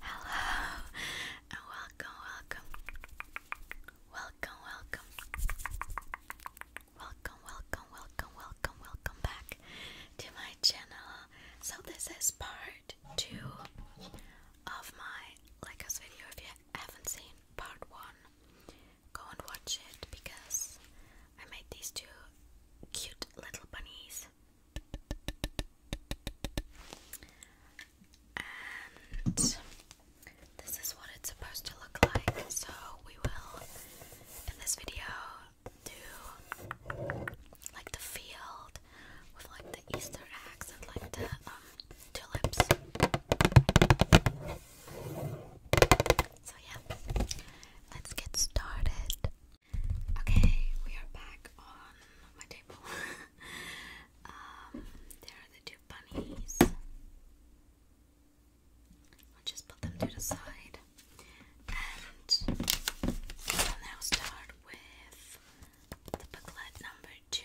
Hello and welcome, welcome, welcome, welcome, welcome, welcome, welcome, welcome, welcome back to my channel. So this is part two of my Legos video. If you haven't seen part one, go and watch it because I made these two cute little bunnies. And this is what it's supposed to look like. So we will, in this video, do like the field with like the Easter eggs and like the um tulips. So yeah, let's get started. Okay, we are back on my table. Um, there are the two bunnies. I'll just put them to the side. And we'll now start with the booklet number two.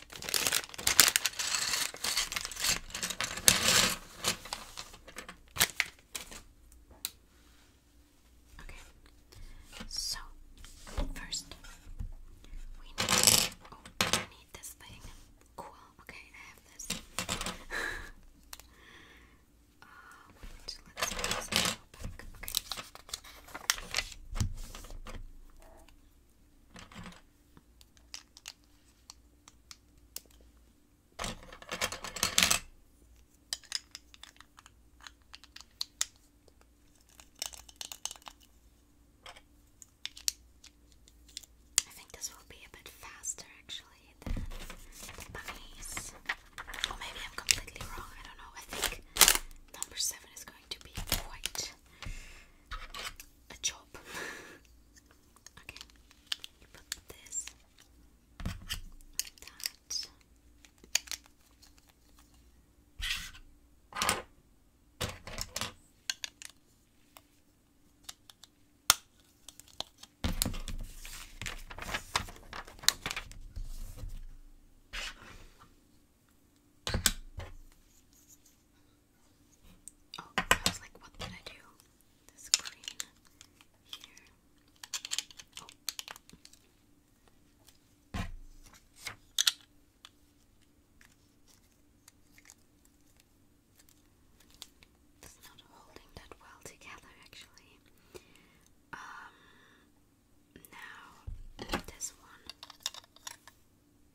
Okay, so first we need. Oh, I need this thing. Cool. Okay, I have this. uh, wait, let's put this back. Okay. I think this will be a bit faster actually bunnies. Or maybe I'm completely wrong, I don't know. I think number seven is going to be quite a job. Okay, you put this like that. Oh, I was like, what did I do? This green here. Oh. It's not holding that well together actually. Um now this one.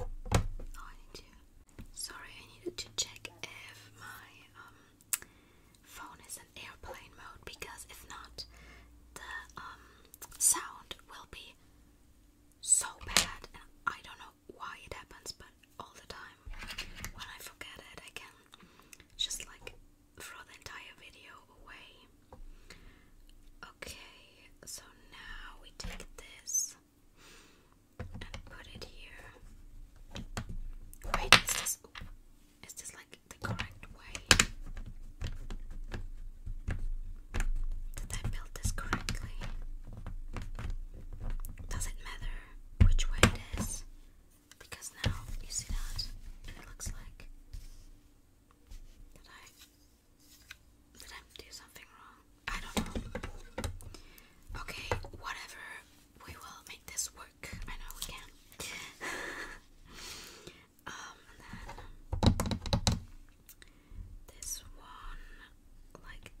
Oh, sorry, I needed to check if my um, phone is in airplane mode because if not, the um, sound will be so bad, and I don't know why it happens, but all the time when I forget it, I can just like throw the entire video away. Okay, so now we take this and put it here. Wait, is this is this like the correct way? Did I build this correctly? Does it matter which way it is? Because now you see that, it looks like that I did I do something wrong? I don't know. Okay, whatever. We will make this work. I know we can. um, then this one, like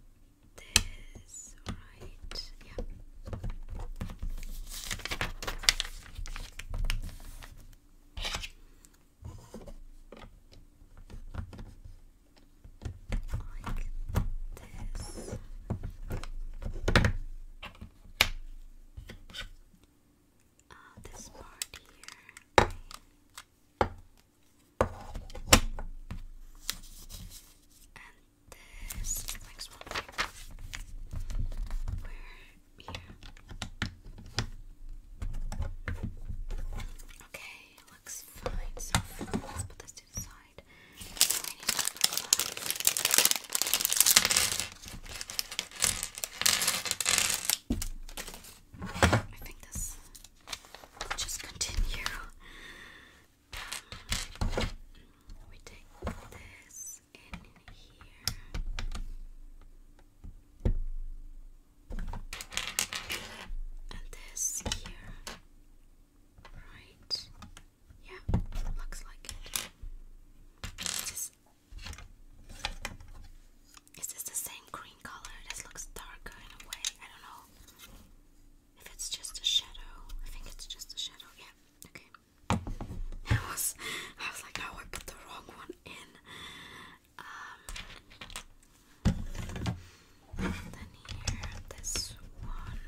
this, right? Yeah like this. Uh, this part here. And this next one, where Okay, looks fine so Let's put this to I think this just continue. we take this in here. And this here, right? Yeah, looks like it. is, this the same green color? This looks darker in a way. I don't know if it's just a shadow. I think it's just a shadow. Yeah. Okay. I was, I was like, oh, I put the wrong one in. Um, then here, this one.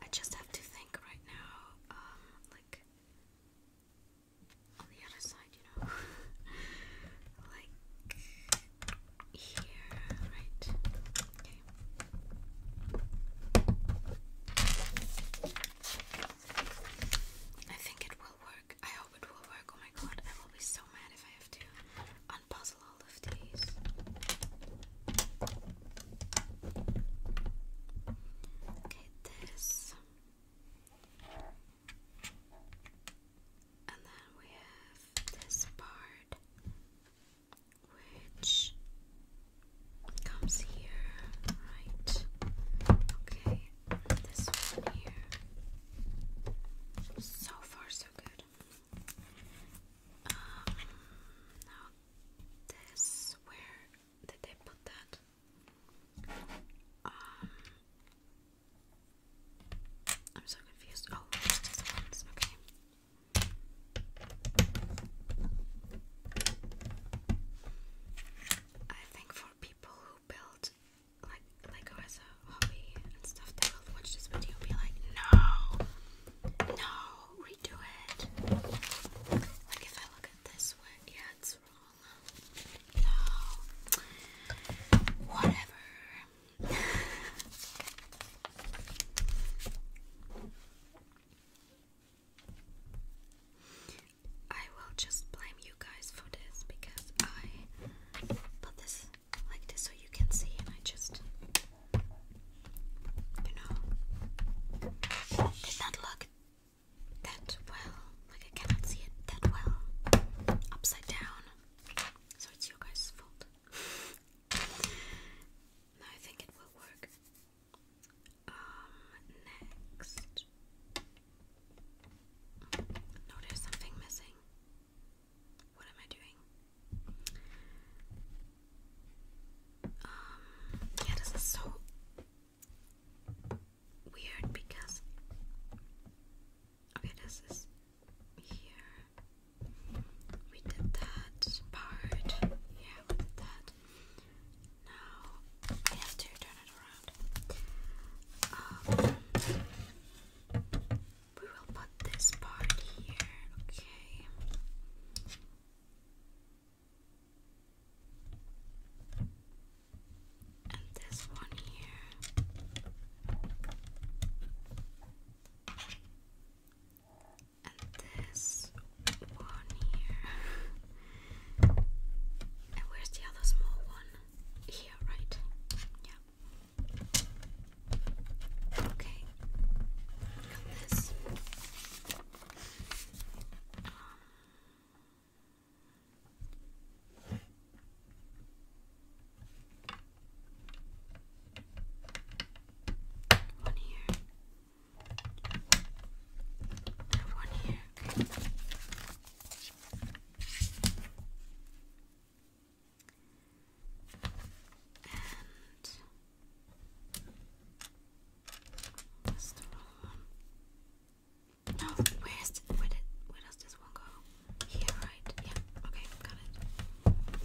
I just have to think right now, um, like on the other side, you know, like here, right? I think it will work. I hope it will work. Oh my god, I will be so mad if I have to unpuzzle all of these. Okay, this. And then we have this part which comes here, right? Okay, this one here. So far, so good. Um, now this, where did they put that? Um, I'm so confused. Oh, there's ones. Okay. I think for people who build like Lego as a hobby and stuff, they will watch this video and be like, no, no, redo it. Like if I look at this one, yeah, it's wrong. No, whatever. I will just blame you guys for this because I put this like this so you can see, and I just, you know, did not look that well. Like, I cannot see it that well upside down. So, it's your guys' fault. now I think it will work. Um, next. No, there's something missing. What am I doing? Um, yeah, this is so weird because. Okay, this is here. We did that part. Yeah, we did that. Now I have to turn it around. Um, we will put this part here, okay. And this one here and this one here. And where's the other small one? Here, right? Yeah. Okay. Got this. Um, one here. I have one here. And that's one. No, oh, where's where did where does this one go? Here, right? Yeah. Okay, got it.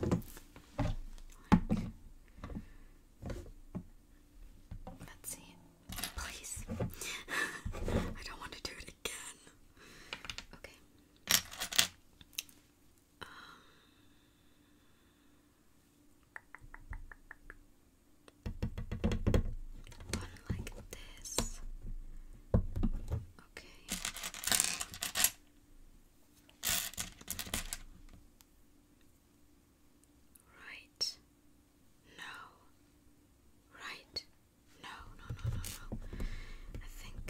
Look. Let's see. Please. I don't want to do it again. Okay. One like this. Okay. Right. No. Right. No, no, no, no, no. I think.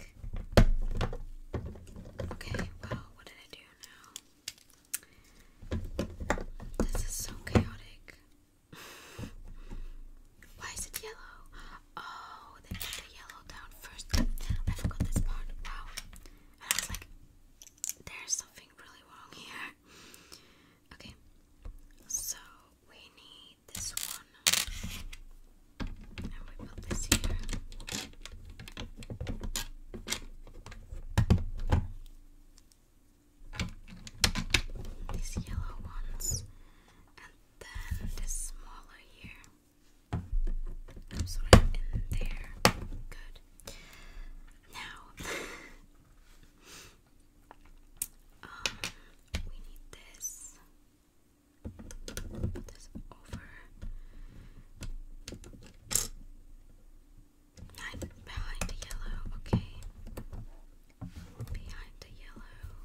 Okay, well, what did I do now? This is so chaotic. Why is it yellow? Oh, they put the yellow down first. I forgot this part. Wow. And I was like, there's something really wrong here. Okay. So we need this one. And we put this here. These yellow ones. And then this smaller here sort of in there. Good. Now, um, we need this. Put this over. behind the yellow, okay. Behind the yellow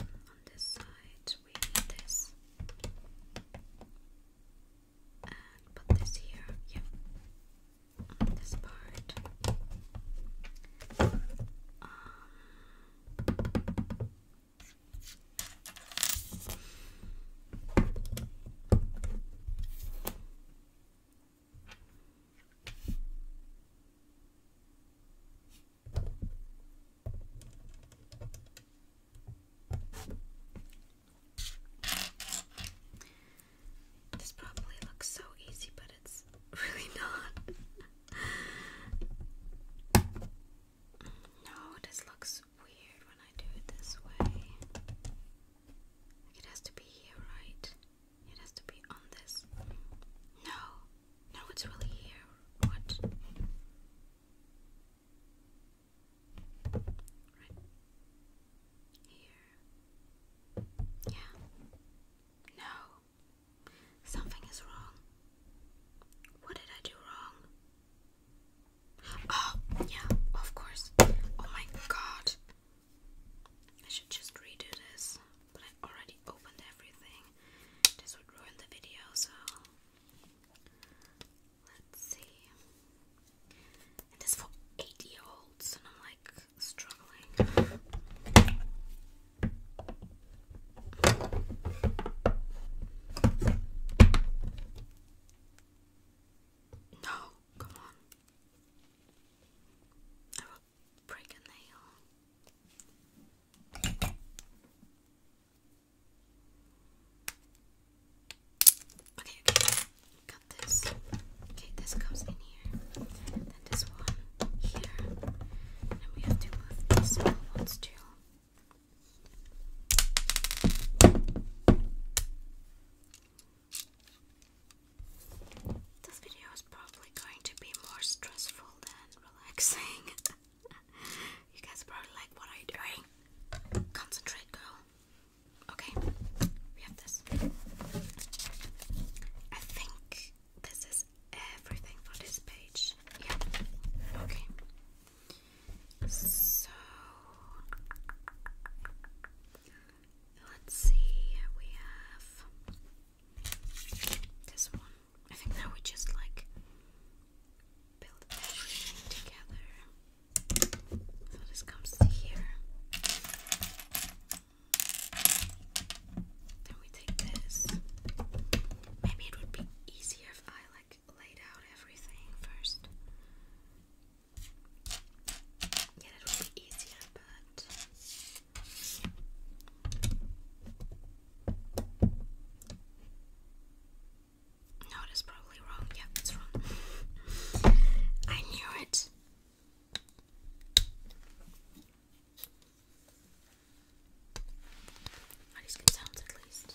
on this side, we need this. And put this here. Yep. this part. Um, this probably looks so easy, but it's really not. no, this looks weird when I do it this way. It has to be here, right? It has to be on this. No, no, it's really here. What? Right here. Yeah. No. Something is wrong. What did I do wrong? Oh, yeah, of course. Oh my god. I should just redo this, but I already opened everything. This would ruin the video, so let's see. this for 80 year olds, and I'm like struggling. No, come on break a nail. Okay, got this. Okay, this goes in here. Then this one here. And we have to small ones too. This video is probably going to be more stressful than relaxing. you guys probably like, what are you doing? Concentrate, girl. Okay, we have this. I think this is everything for this page. Yeah, okay. So let's see, we have this one. I think now we just like build everything together. So this comes here. Then we take this. Maybe it would be easier if I like laid out everything first. Yeah, that would be easier, but no, it is probably wrong. Yeah, it's wrong. I knew it. at least?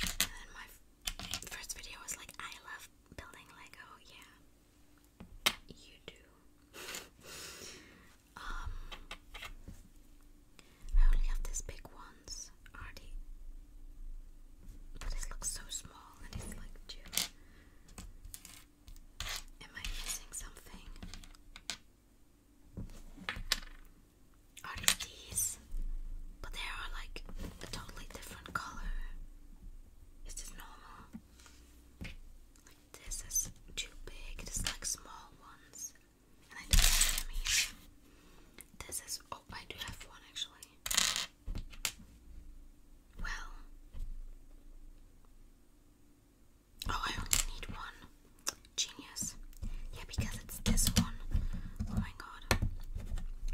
my first video was like, I love building Lego. Yeah, you do. um, I only have these big ones already. But this looks so small and it's like two. Am I missing something? are these, but they are like a totally different color. Is this normal? this is too big. This like small ones, and I don't have them This is oh, I do have one actually. Well, oh, I only need one. Genius. Yeah, because it's this one. Oh my god.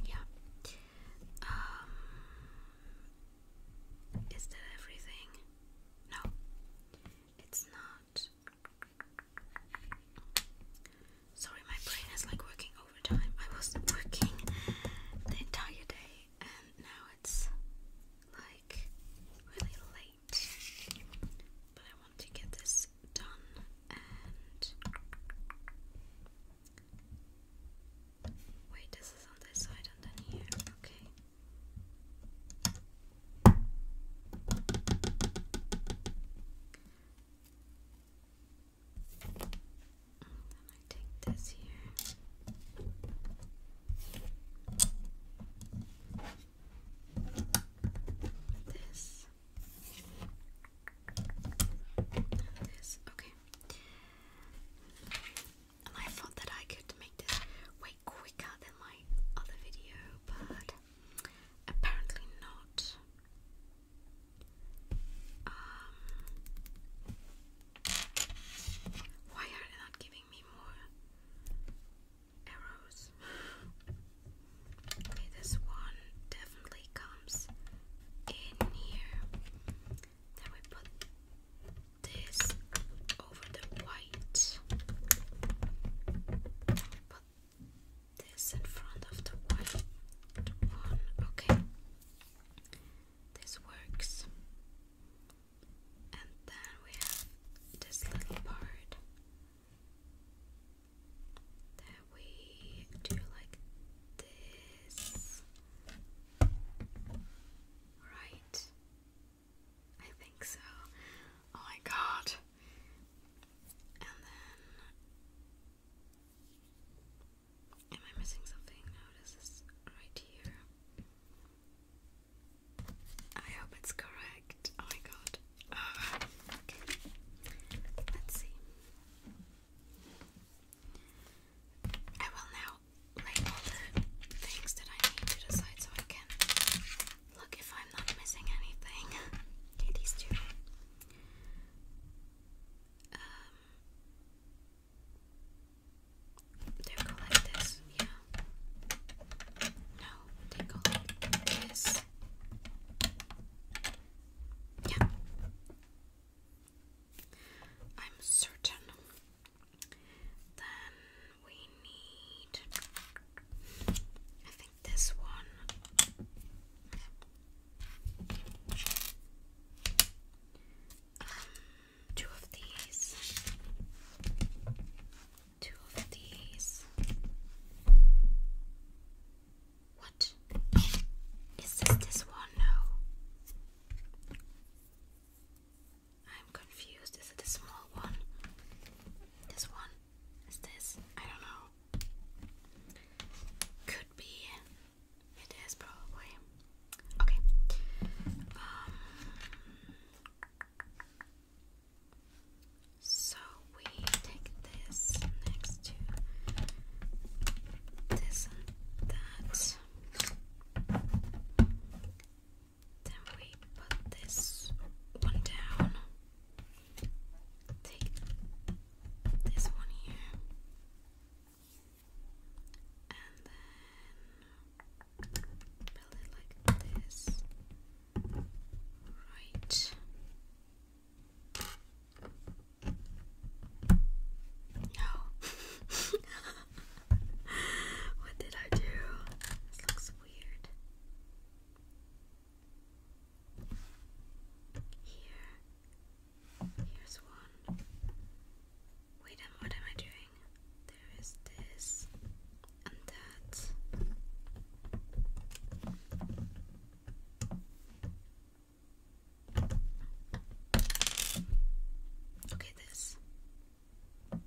Yeah. Um, is that everything? No. It's not. Sorry, my brain is like working overtime. I was working the entire day and now it's like really late. I want to get this done wait, this is on this side and then here, okay. then I take this here. This this, okay. I thought that I could make this way quicker than my other video, but apparently not. Um, why are they not giving me more arrows. this one definitely comes in here. Then we put this over the white. Put this in front of the white one. Okay, this works. And then we have this little part that we do like this. Right. I think so. Oh my god. And then. Am I missing something? No, this is right here. I hope it's correct. Oh my god. Alright. Okay. Let's see. I will now label the things that I need to decide so I can look if I'm not missing anything. these two. Um, they go like this, yeah. No, they go this. Yeah. I'm certain. Then we need I think this one. Um, two of these. Two of these. What? Is this this one? No. I'm confused. Is it the small one? This one? Is this? I don't know. Could be. It is probably. Okay. Um, so we take this next to this and that. Then we put this one down. Take this one here. And then build it like this. Right. No. what did I do? This looks weird. Here. Here's one. Wait, and what am I doing? There is this and that. Okay, this. And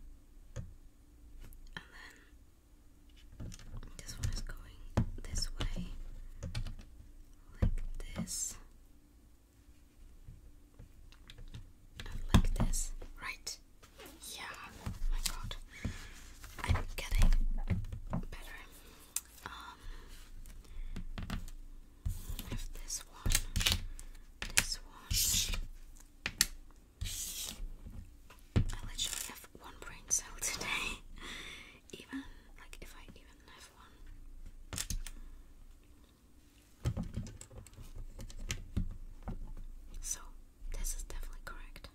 then this one is going this way, like this, and like this, right? Yeah, my god. I'm getting better. Um, I this one, this one. I literally have one brain cell today. even like if I even have one. So this is definitely correct.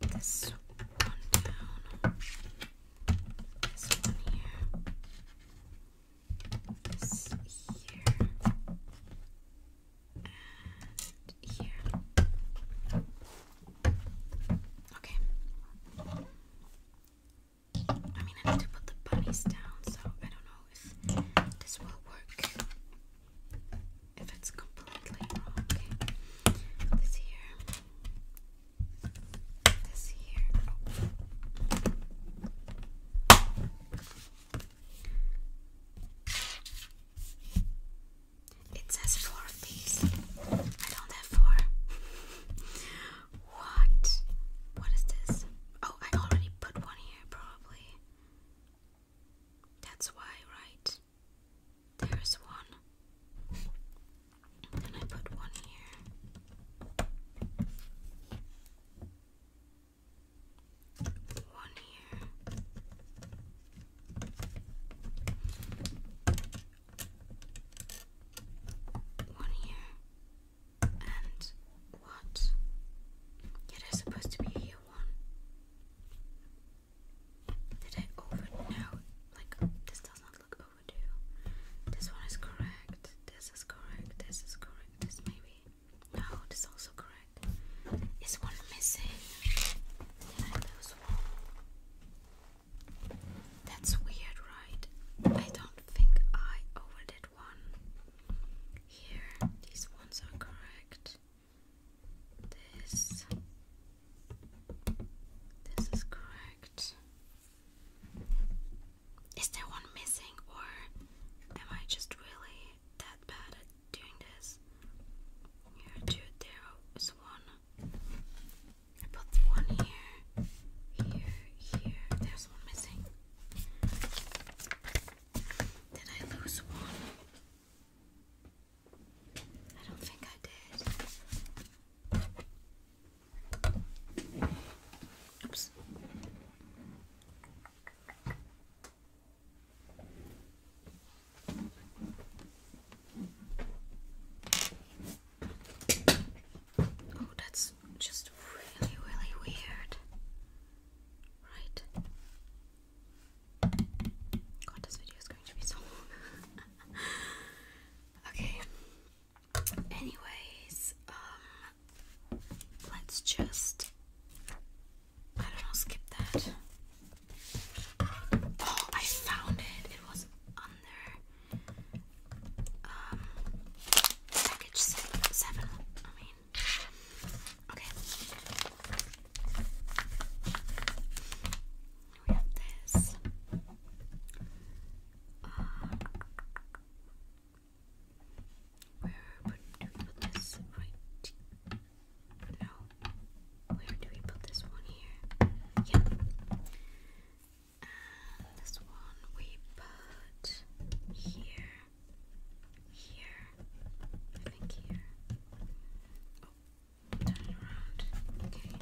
Put this one down. This one here. This here. And here. Okay. I mean, I need to put the bunnies down, so I don't know if this will work if it's completely Okay. This here. This here. It says four of these. I don't have four. what? What is this? Oh, I already put one here, probably. That's why, right? There's one. And I put one here. One here. One here. And what? It is supposed to be here one. Did I over? like this does not look overdue. This one is correct. This is correct. This is correct. This maybe. No, this is also correct. Is one missing? That's weird, right? I don't think I overdid one. Here, these ones are correct this this is correct is there one missing or am I just really that bad at doing this here two there is one I put one here here here there's one missing did I lose one I don't think I did. Oh, that's just really, really weird. Right? God, this video is going to be so long. okay. Anyways, um, let's just. I don't know, skip that. Oh, I found it. It was under um package seven. I mean, okay. We have this. Uh, where would we put this? Right? No. Where do we put this one here? Yeah. this one we put here. Here. I think here. Oh, turn it around. Okay.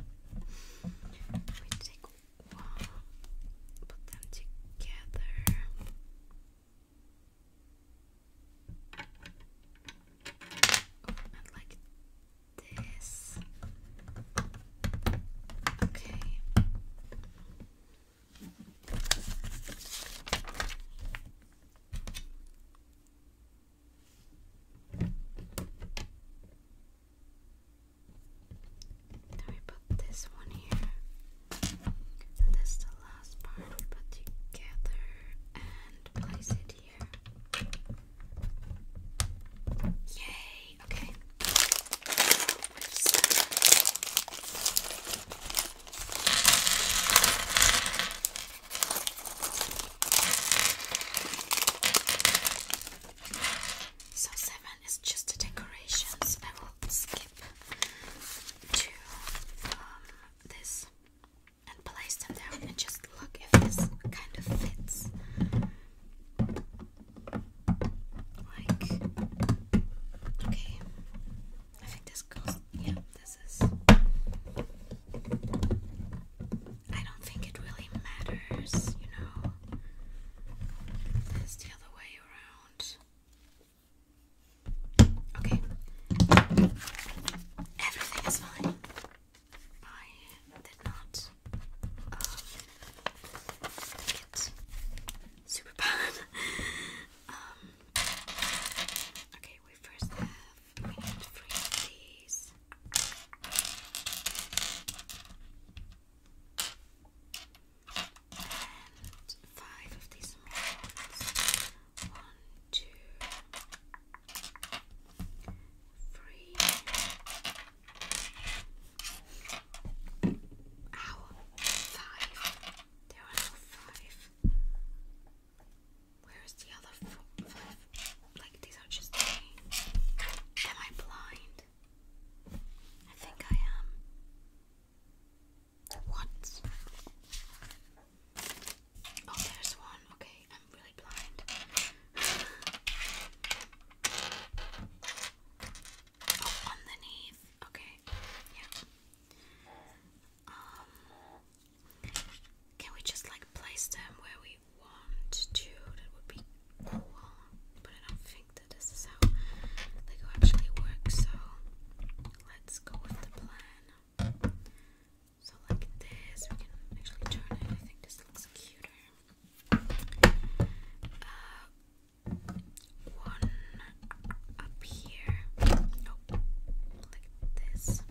Let take one, put them together. Oh, like this. Okay. Then we put this one here. that's the last part put together and place it here. Yay! Okay. So seven is just a I will skip to um, this and place them down and just look if this kind of fits. Like, okay, I think this goes. Yeah, I don't think it really matters, you know. It's the other way around. Okay. Everything is fine. I did not um, get super bad. Um, okay, we first have I need three of these. And five of these ones. One, two, three. There are five. Where's the other four, five? Like, these are just Am I blind? I think I am. What? Oh, there's one. Okay, I'm really blind. oh, underneath. Okay, yeah. Um, can we just like place them where we want to? That would be cool, but I don't think that this is how Lego actually works. So let's go with the plan. So like this, we can actually turn it. I think this looks cuter. Uh, one up here. Oh, like this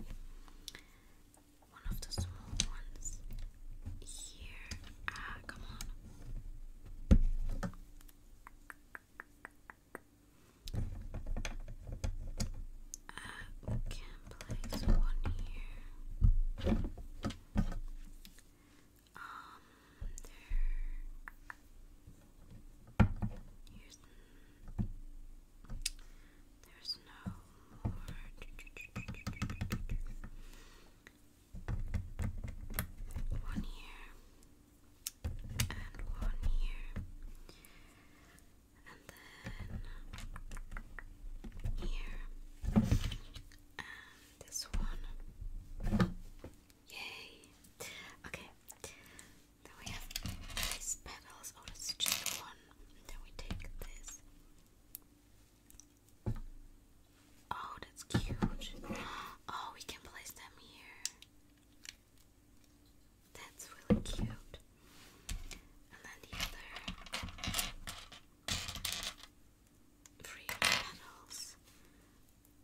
one of the small ones here. Ah, come on. Uh, we can place one here. Um, there. Here's. There's no more. One here, and one here, and then here, and this one. Yay! Okay, then we have these petals. Oh, that's just one. then we take this. Oh, that's cute. Oh, we can place them here. That's really cute. And then the other three petals.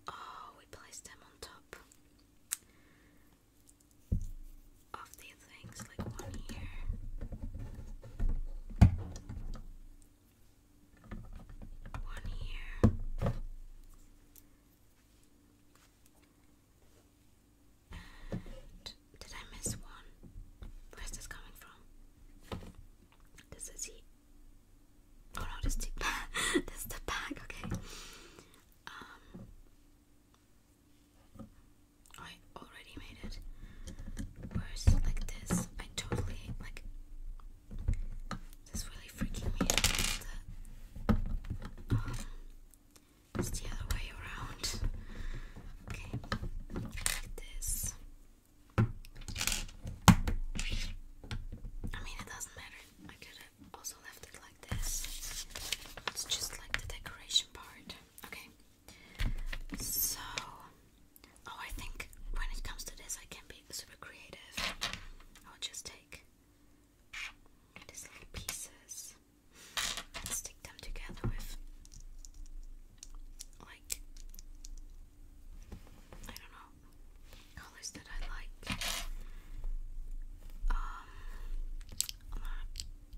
Oh, we place them on top of these things, like one here, one here. did I miss one? Where's this coming from? This is he. Oh no, this is the, this is the bag. Okay. Um, I already made it worse like this. I totally like this really freaking me out. Um, it's the other way around. Okay, like this. I mean, it doesn't matter. I could have also left it like this. It's just like the decoration part. Okay. So, oh, I think when it comes to this, I can be super creative. I'll just take these little pieces and stick them together with, like, I don't know, colors that I like. Um,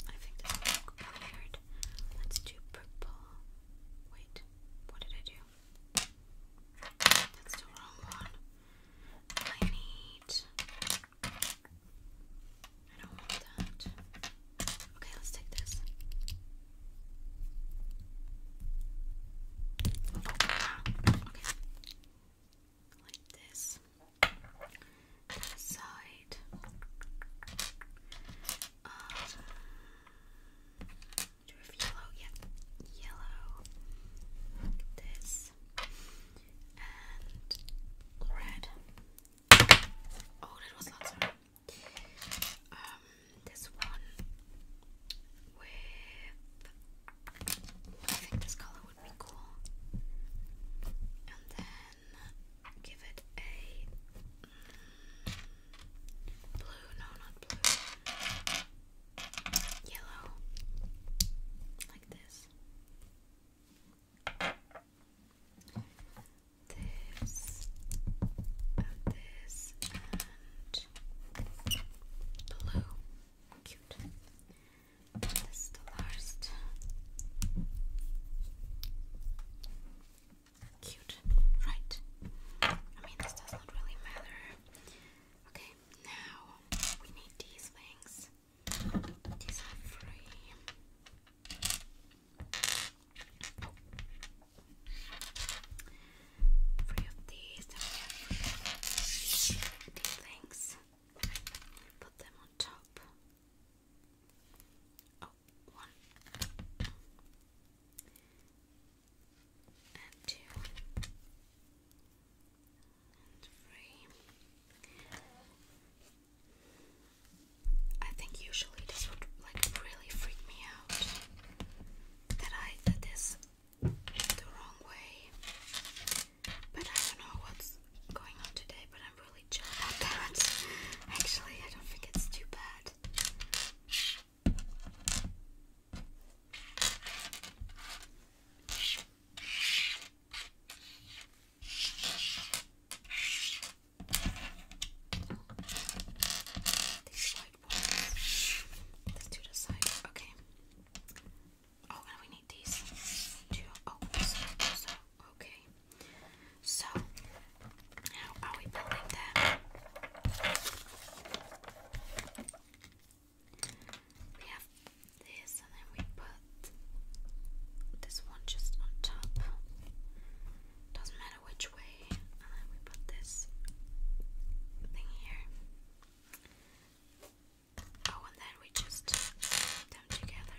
I think this is weird. Let's do purple. Wait, what did I do? That's the wrong one. I need. I don't want that. Okay, let's take this. okay. Like this side. Um, do we have yellow? Yeah, yellow. This and red. Oh, that was not sorry. Um, this one with I think this color would be cool. And then give it a blue, no, not blue, yellow, like this. This this and blue. Cute. This is the last. Cute, right? I mean, this does not really matter. Okay, now we need these things. These are free. Three of these, things. Put them on top. Oh, one. And two. And three. I think usually this would like really freak me out that I did this the wrong way. But I don't know what's going on today, but I'm really chill about that. Actually, I don't think it's too bad. These white ones. Let's do the side. Okay. Oh, we need these Oh, Okay. So, how are we building them? We have this, and then we put this one just on top. Doesn't matter which way, and then we put this thing here. Oh, and then we just put them together.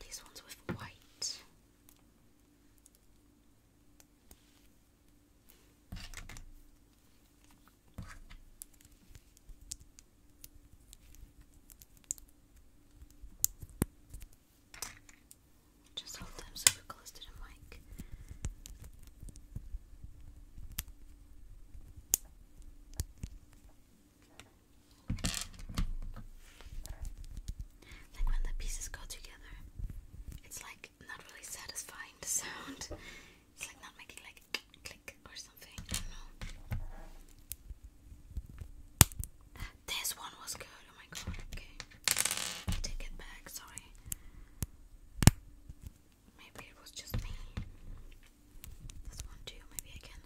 These ones with white. Just hold them super close to the mic. Like when the pieces go together, it's like not really satisfying the sound. It's like not making like click or something. I don't know. This one was good. Oh my god. Okay, take it back. Sorry. Maybe it was just me. This one too, maybe I can.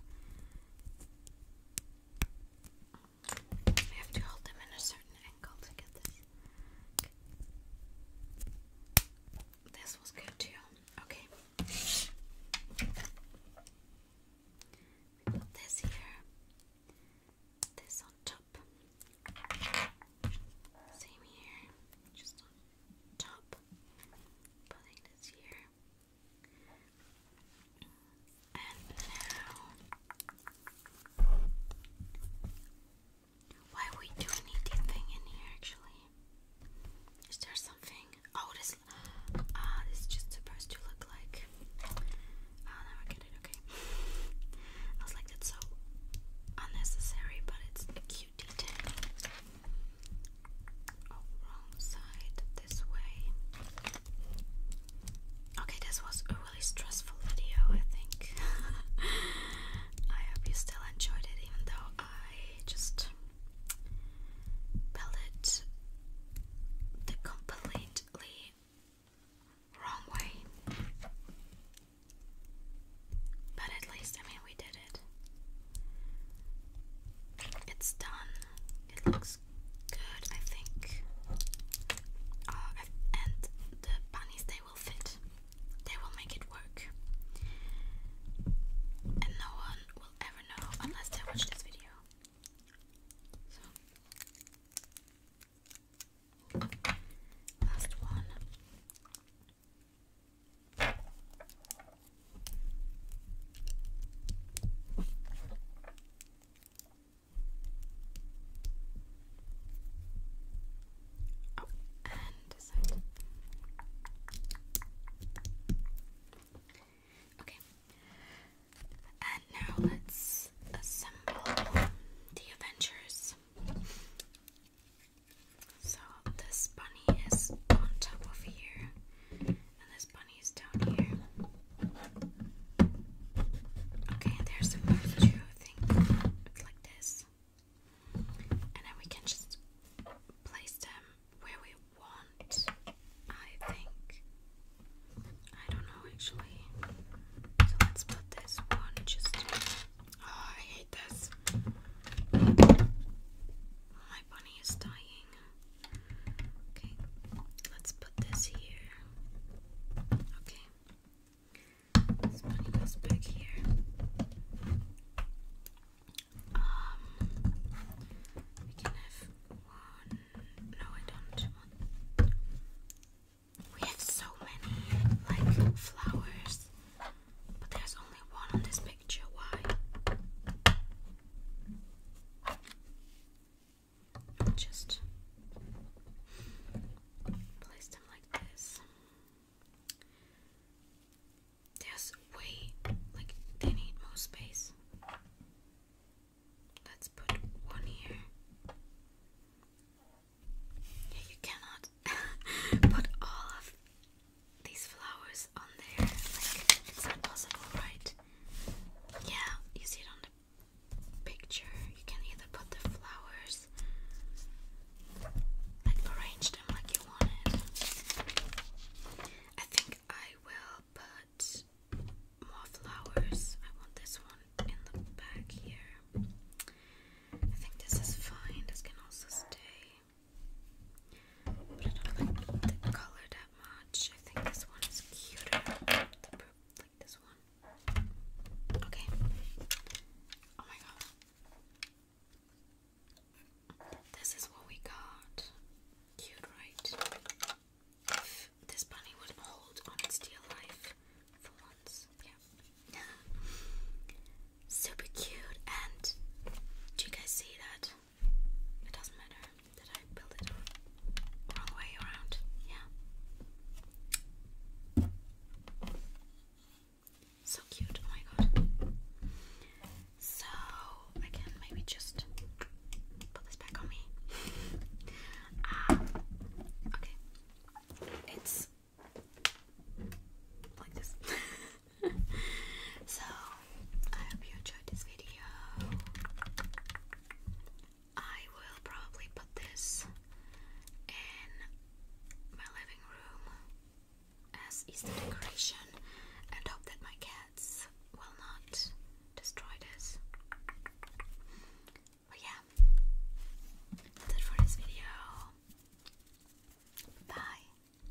I have to hold them in a certain angle to get this. This was good too. Okay. put this here. This on top. Same here. Just on top. Putting this here. And now, we do need in here? Actually, is there something? Oh, this. Ah, this is just supposed to look like. Oh, now I get it. Okay. I was like, that's so unnecessary, but it's cute. Oh, okay this was a really stressful video I think I hope you still enjoyed it even though I just built the completely wrong way but at least I mean we did it's done. It looks good, I think. Uh, and the bunnies, they will fit. They will make it work. And no one will ever know unless they watch this video. So. Last one. Oh, okay. And now let's assemble the Avengers. So this bunny is on top of here, and this bunny is down here. Okay, there's the first things like this, and then we can just place them where we want. I think I don't know actually. So let's put this one just. Oh, I hate this. My bunny is dying. Okay, let's put this here. Okay, this bunny goes back here. Um, we can have one. No, I don't We have so many like flowers. But there's only one on this picture. Why? Just place them like this. There's way like they need more space. Let's put one here. Yeah, you cannot put all of these flowers on there. Like, it's not possible, right? Yeah, you see it on the picture. You can either put the flowers, like, arrange them like you want it. I think I will put more flowers. I want this one in the back here. I think this is fine. This can also stay. I don't like the color that much. I think this one is cuter. like this one. Okay. Oh my god. This is what we got. Cute, right? If this bunny would hold on its dear life for once. Yeah. Super cute and do you guys see that? It doesn't matter that I built it wrong way around. Yeah. So cute. Oh my god. So I maybe just put this back on me. um, okay. It's like this. so, I hope you enjoyed this video. I will probably put this in my living room as Easter decoration and hope that my cats will not destroy this. But yeah, that's it for this video. Bye.